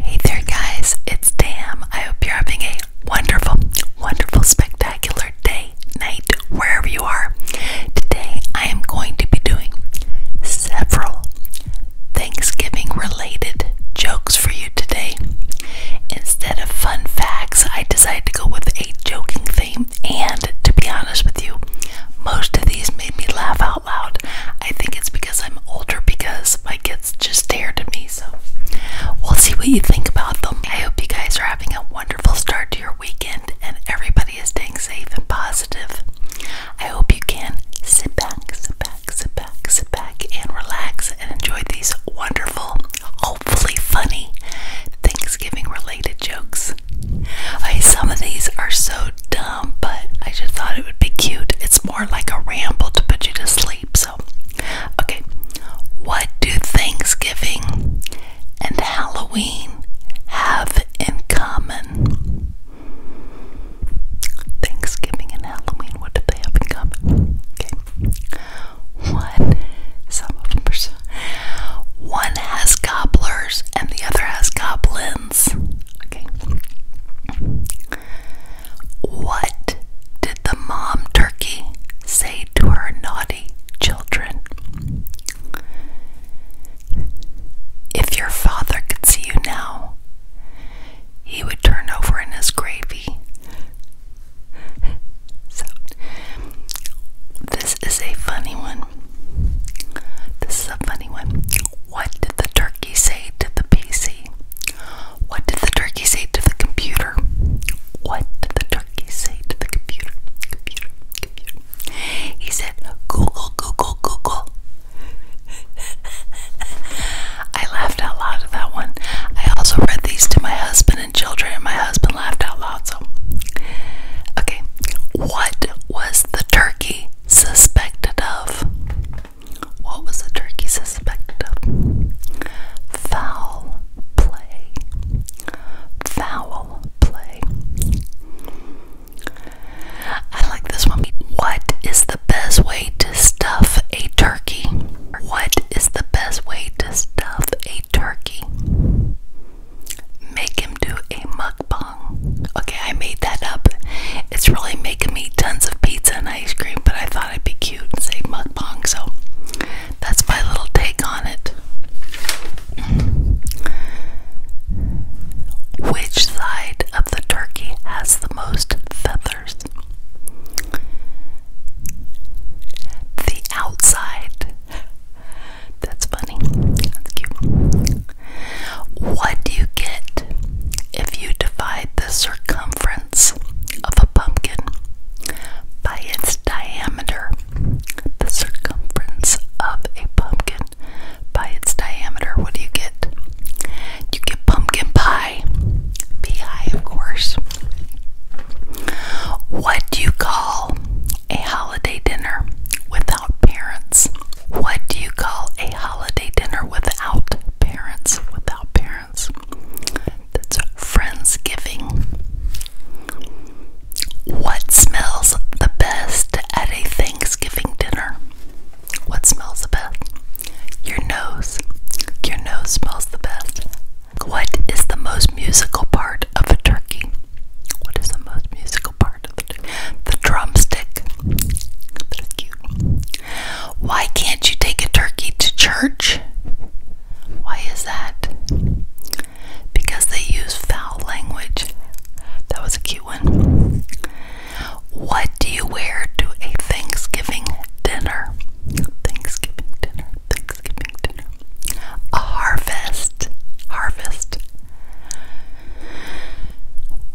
Hey there, guys, it's Tam. I hope you're having a wonderful, wonderful, spectacular day, night, wherever you are. Today, I am going to be doing several Thanksgiving related jokes for you today. Instead of fun facts, I decided to go with a joking theme, and to be honest with you, most of these made me laugh out loud. I think it's because I'm older because my kids just stared at me. So we'll see what you think about them. I hope you guys are having a wonderful start to your weekend and everybody is staying safe and positive. I hope you can sit back, sit back, sit back, sit back and relax and enjoy these wonderful, hopefully funny Thanksgiving related jokes. I some of these are so dumb, but I just thought it would be cute. It's more like a ramble to put you to sleep. So, okay. What do Thanksgiving and Halloween have in common? Thanksgiving and Halloween, what do they have in common? Okay. One, some of them are so. One has goblins, and the other has goblins. Okay. What did the mom turkey say to her naughty children? If your father could see you now, he would turn over in his gravy. So, this is a funny one. This is a funny what did the turkey say to the PC? What did the turkey say to the computer? What did the turkey say to the computer? Computer, computer. He said, Google, Google, Google. I laughed out loud at that one. I also read these to my husband and children, and my husband laughed out loud. So, okay, what was the turkey Suspected of. What was the turkey suspected of? Foul play. Foul play. I like this one. What is the best way to stuff a turkey? What is the best way to stuff a turkey? Make do a mukbang. Okay, I made that up. It's really making me tons of pizza and ice cream, but I thought it would be cute to say mukbang, so that's my little take on it. Which side of the turkey has the most feathers? The outside. That's funny. That's cute. What do you get if you divide the circumference of a pumpkin by its diameter? The circumference of a pumpkin by its diameter. What do you get? You get pumpkin pie. P.I. of course. What do you call a holiday dinner without parents? What do you call a holiday dinner without parents? Without parents. That's Friendsgiving. What smells the best at a Thanksgiving dinner? What smells the best? Your nose. Your nose smells the best. What is the most musical part? of a turkey? What is the most musical part of the turkey? The drumstick. That's cute. Why can't you take a turkey to church? Why is that? Because they use foul language. That was a cute one. What do you wear to a Thanksgiving dinner? Thanksgiving dinner, Thanksgiving dinner. A harvest, harvest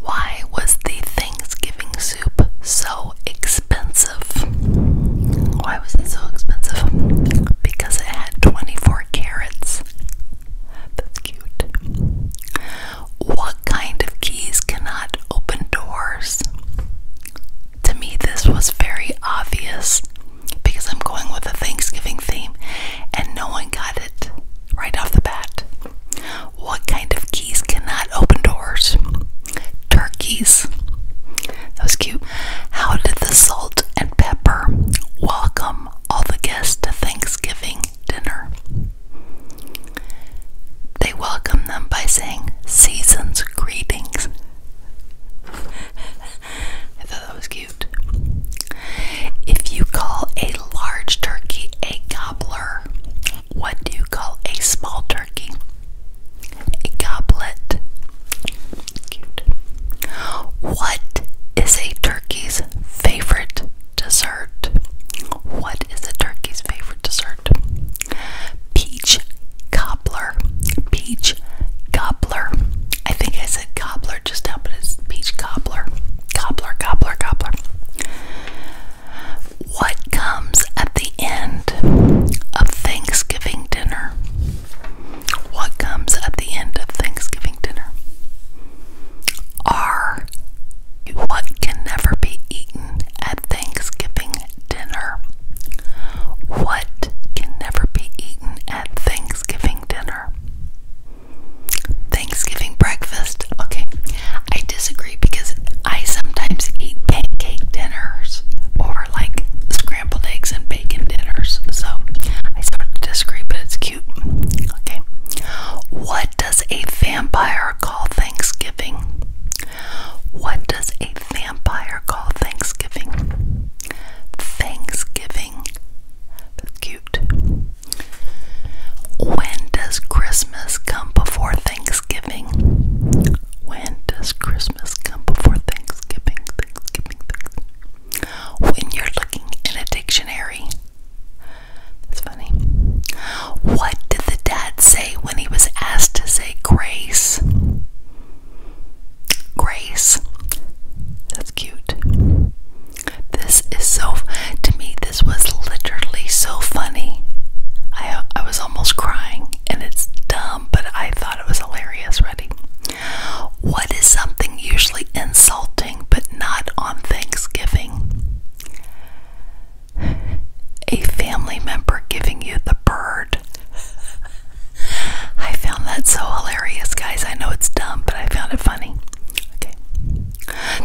why was the Thanksgiving soup so expensive? Why was it so expensive? Because it had 24 carrots. That's cute. What kind of keys cannot open doors? To me, this was very obvious because I'm going with a Thanksgiving theme, and no one got it right off the bat. What kind of keys cannot open doors? Turkeys. That was cute. How did the salt and pepper welcome all the guests to Thanksgiving dinner? They welcomed them by saying, Season's greetings. I thought that was cute. If you call a large turkey a gobbler, what do you call a small turkey? A goblet. What is a turkey's favorite dessert? What is a turkey's favorite dessert? Peach cobbler. Peach cobbler. I think I said cobbler just now, peach cobbler. Cobbler, cobbler, cobbler. What comes at the end of Thanksgiving dinner? What comes at the end of Thanksgiving dinner? Are what can never be eaten at Thanksgiving dinner? What can never be eaten at Thanksgiving dinner. Thanksgiving breakfast. Okay, I disagree because I sometimes eat pancake dinners or like scrambled eggs and bacon dinners. So I sort of disagree, but it's cute. Okay, what does a vampire call Thanksgiving? What does a vampire call Thanksgiving? Thanksgiving. Cute. When does Christmas come before Thanksgiving? When does Christmas come before Thanksgiving? When you're looking in a dictionary. That's funny. What did the dad say when he was asked to say grace? Grace. That's cute. This is so to me this was literally so funny. I I was almost crying and it's dumb, but I thought it was hilarious, ready? What is something usually insulting but not on Thanksgiving? A family member giving you the bird. I found that so hilarious, guys. I know it's dumb, but I found it funny. Okay.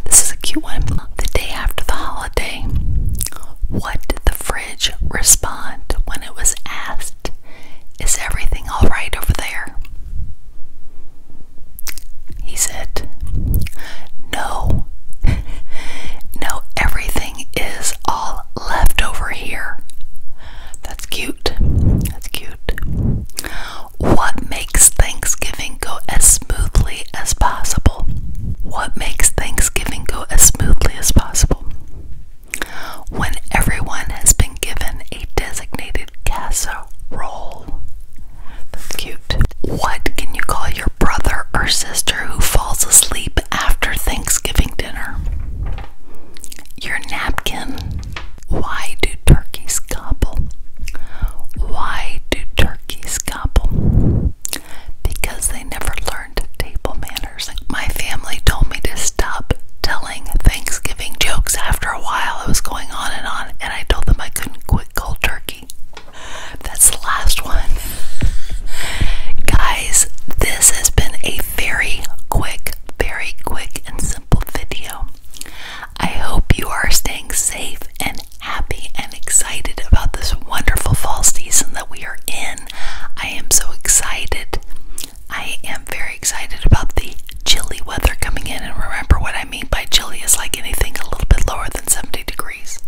This is a cute one. The day after the holiday, what did the fridge respond when it was asked, Is everything alright over there? He said, No. no, everything is all left over here. That's cute. That's cute. What makes Thanksgiving go as smoothly as possible? What makes Thanksgiving go as smoothly as possible? When everyone has been given a designated casserole. That's cute. What can you call your brother or sister who falls asleep after Thanksgiving dinner? Your napkin. Why do turkeys gobble? Why do turkeys gobble? Because they never learned table manners. My family told me to stop telling Thanksgiving jokes after a while. I was going on and on, and I told them I couldn't quit cold turkey. That's the last one. Guys, this has been a very quick, very quick and simple video. I hope you are staying safe and happy and excited about this wonderful fall season that we are in. I am so excited. I am very excited about the chilly weather coming in, and remember what I mean by chilly is like anything a little bit lower than 70 degrees.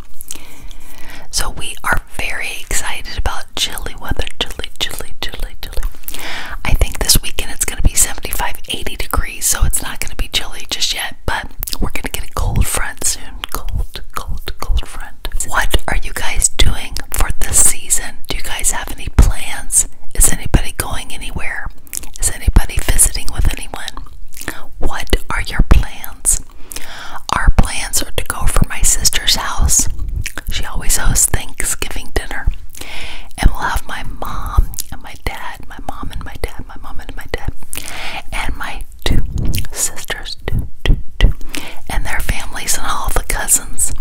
So, we are very excited about chilly weather. Chilly, chilly, chilly, chilly. I think this weekend it's going to be 75, 80 degrees, so it's not going to be chilly just yet, but we're going to get a cold front soon. Cold, cold, cold front. What are you guys doing for this season? Do you guys have any plans? Is anybody going anywhere? Is anybody visiting with anyone? What are your plans? our plans are to go for my sister's house. She always hosts Thanksgiving dinner. And we'll have my mom and my dad, my mom and my dad, my mom and my dad, and my two sisters, two, two, two, and their families and all the cousins.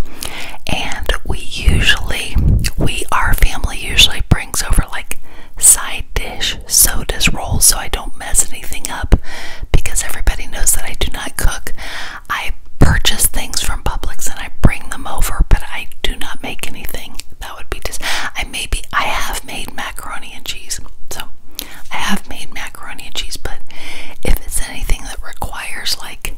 And we usually, we, our family usually brings over like side dish so does roll. so I don't mess anything up because everybody knows that I do not cook. I purchase things from Publix and I bring them over, but I do not make anything. That would be just. I maybe I have made macaroni and cheese, so I have made macaroni and cheese. But if it's anything that requires like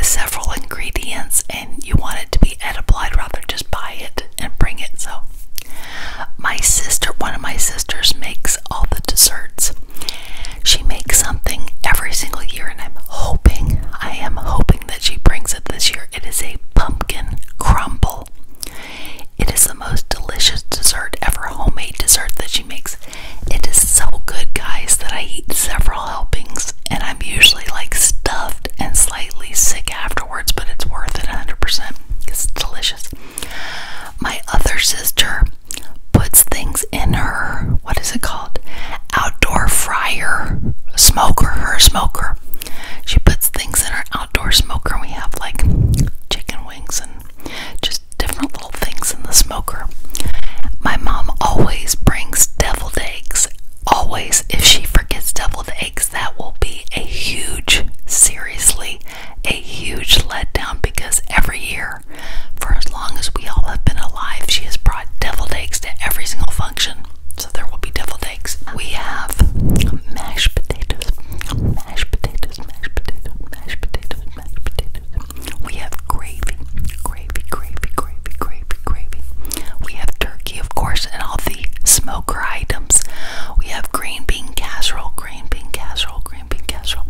several ingredients and you want it to be edible, I'd rather just buy it and bring it. So my sister, one of my sisters, makes all the desserts. She makes something every single year, and I'm hoping, I am hoping that she brings it this year. It is a pumpkin crumble. It is the most delicious dessert ever, homemade dessert that she makes. It is so good, guys, that I eat several helpings, and I'm usually like stuffed and slightly sick afterwards, but it's worth it 100% it's delicious. My other sister puts things in her, what is it called? Outdoor fryer, smoker, her smoker. She puts things in her outdoor smoker, we have like chicken wings and just different little things in the smoker. My mom always brings deviled eggs. Always, if she forgets deviled eggs, that will be a huge, seriously a huge letdown because every year, for as long as we all have been alive, she has brought deviled eggs to every single function. So there will be deviled eggs. We have mashed potatoes, mashed potatoes, mashed potatoes, mashed potatoes, mashed potatoes. We have gravy, gravy, gravy, gravy, gravy, gravy. We have turkey, of course, and all the smoke poker We have green bean casserole, green bean casserole, green bean casserole.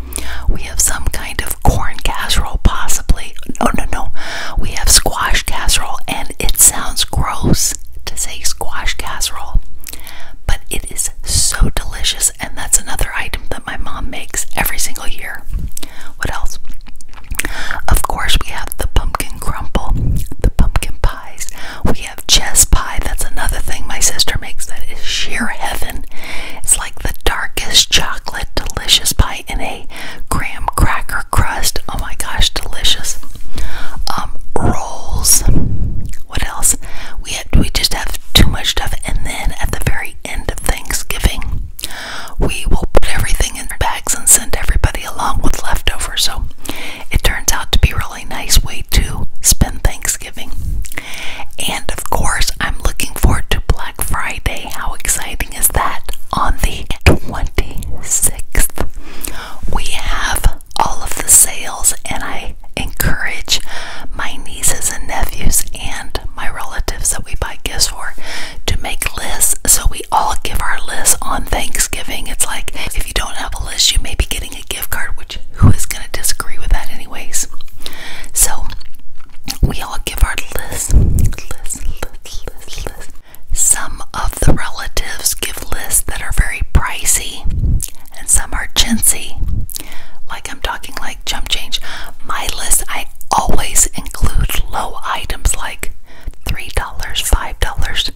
We have some kind of corn casserole, possibly. No, no, no. We have squash casserole, and it sounds gross to say squash casserole, but it is so delicious, and that's another item that my mom makes every single year. What else? Of course, we have the pumpkin crumble, the pumpkin pies. We we have chess pie. That's another thing my sister makes that is sheer heaven. It's like the darkest chocolate, delicious pie in a graham cracker crust. Oh my gosh, delicious. Um, rolls. What else? We we just have too much stuff, and then at the very end of Thanksgiving, we will put everything in bags and send everybody along with leftovers. So it turns out to be a really nice way to spend Thanksgiving. And of course, I'm looking forward to Black Friday. How exciting is that? On the 26th, we have all of the sales, and I encourage my nieces and nephews and my relatives that we buy gifts for to make lists so we all give our lists on Thanksgiving. It's like if you don't have a list, you may be getting a gift card, which who is going to disagree with that, anyways? So, we all give our list. Some of the relatives give lists that are very pricey, and some are chintzy. Like I'm talking like jump change. My list, I always include low items like $3, $5,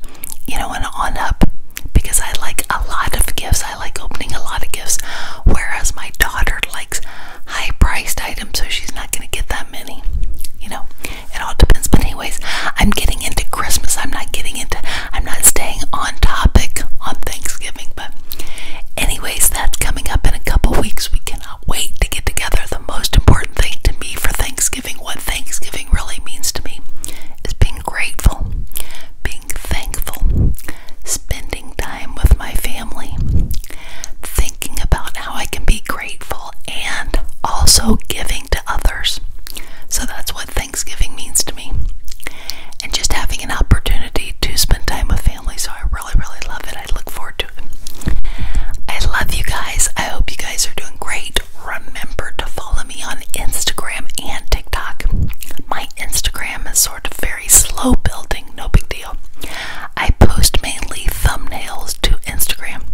you know, and on up because I like a lot of gifts. I like opening a lot of gifts. Whereas my daughter likes high priced items, so she's not going to get that many. You know, it all depends. But, anyways, I'm getting into Christmas. I'm not getting into, I'm not staying on topic on Thanksgiving. But, anyways, that's coming up in a couple weeks. We cannot wait to get together. The most important thing to me for Thanksgiving what Thanksgiving really means to me is being grateful, being thankful, spending time with my family, thinking about how I can be grateful and also giving to others. So that's what Thanksgiving means to me. And just having an opportunity to spend time with family. So I really, really love it. I look forward to it. I love you guys. I hope you guys are doing great remember to follow me on Instagram and TikTok. My Instagram is sort of very slow building, no big deal. I post mainly thumbnails to Instagram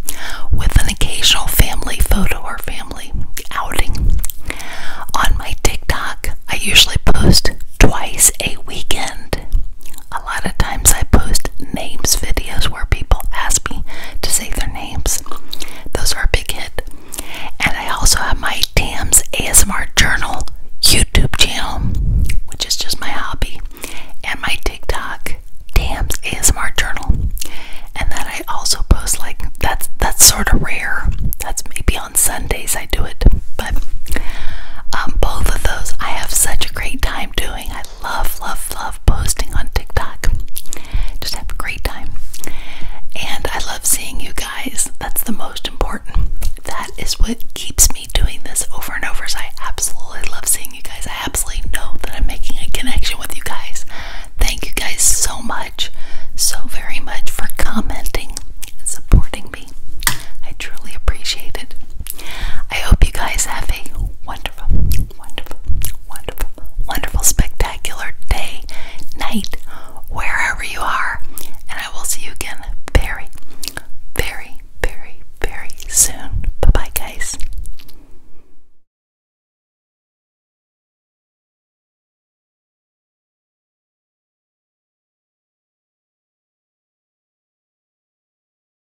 with an occasional family photo or family outing. On my TikTok, I usually post twice a weekend. A lot of times I post names videos where people ask me to say their names. Those are a big hit. And I also have my Tams ASMR Journal YouTube channel, which is just my hobby, and my TikTok Tams ASMR Journal. And then I also post like that's that's sort of rare. That's maybe on Sundays I do it, but um, both of those I have such a great time doing. I love, love, love posting on TikTok. Just have a great time. And I love seeing you guys. That's the most important. That is what keeps me doing this over and over. So I absolutely love seeing you guys. I absolutely know that I'm making a connection with you guys. Thank you guys so much, so very much for commenting and supporting me. I truly appreciate it. I hope you guys have a wonderful wonderful, wonderful, wonderful, spectacular day, night, wherever you are. And I will see you again very, very, very, very soon. Bye bye, guys.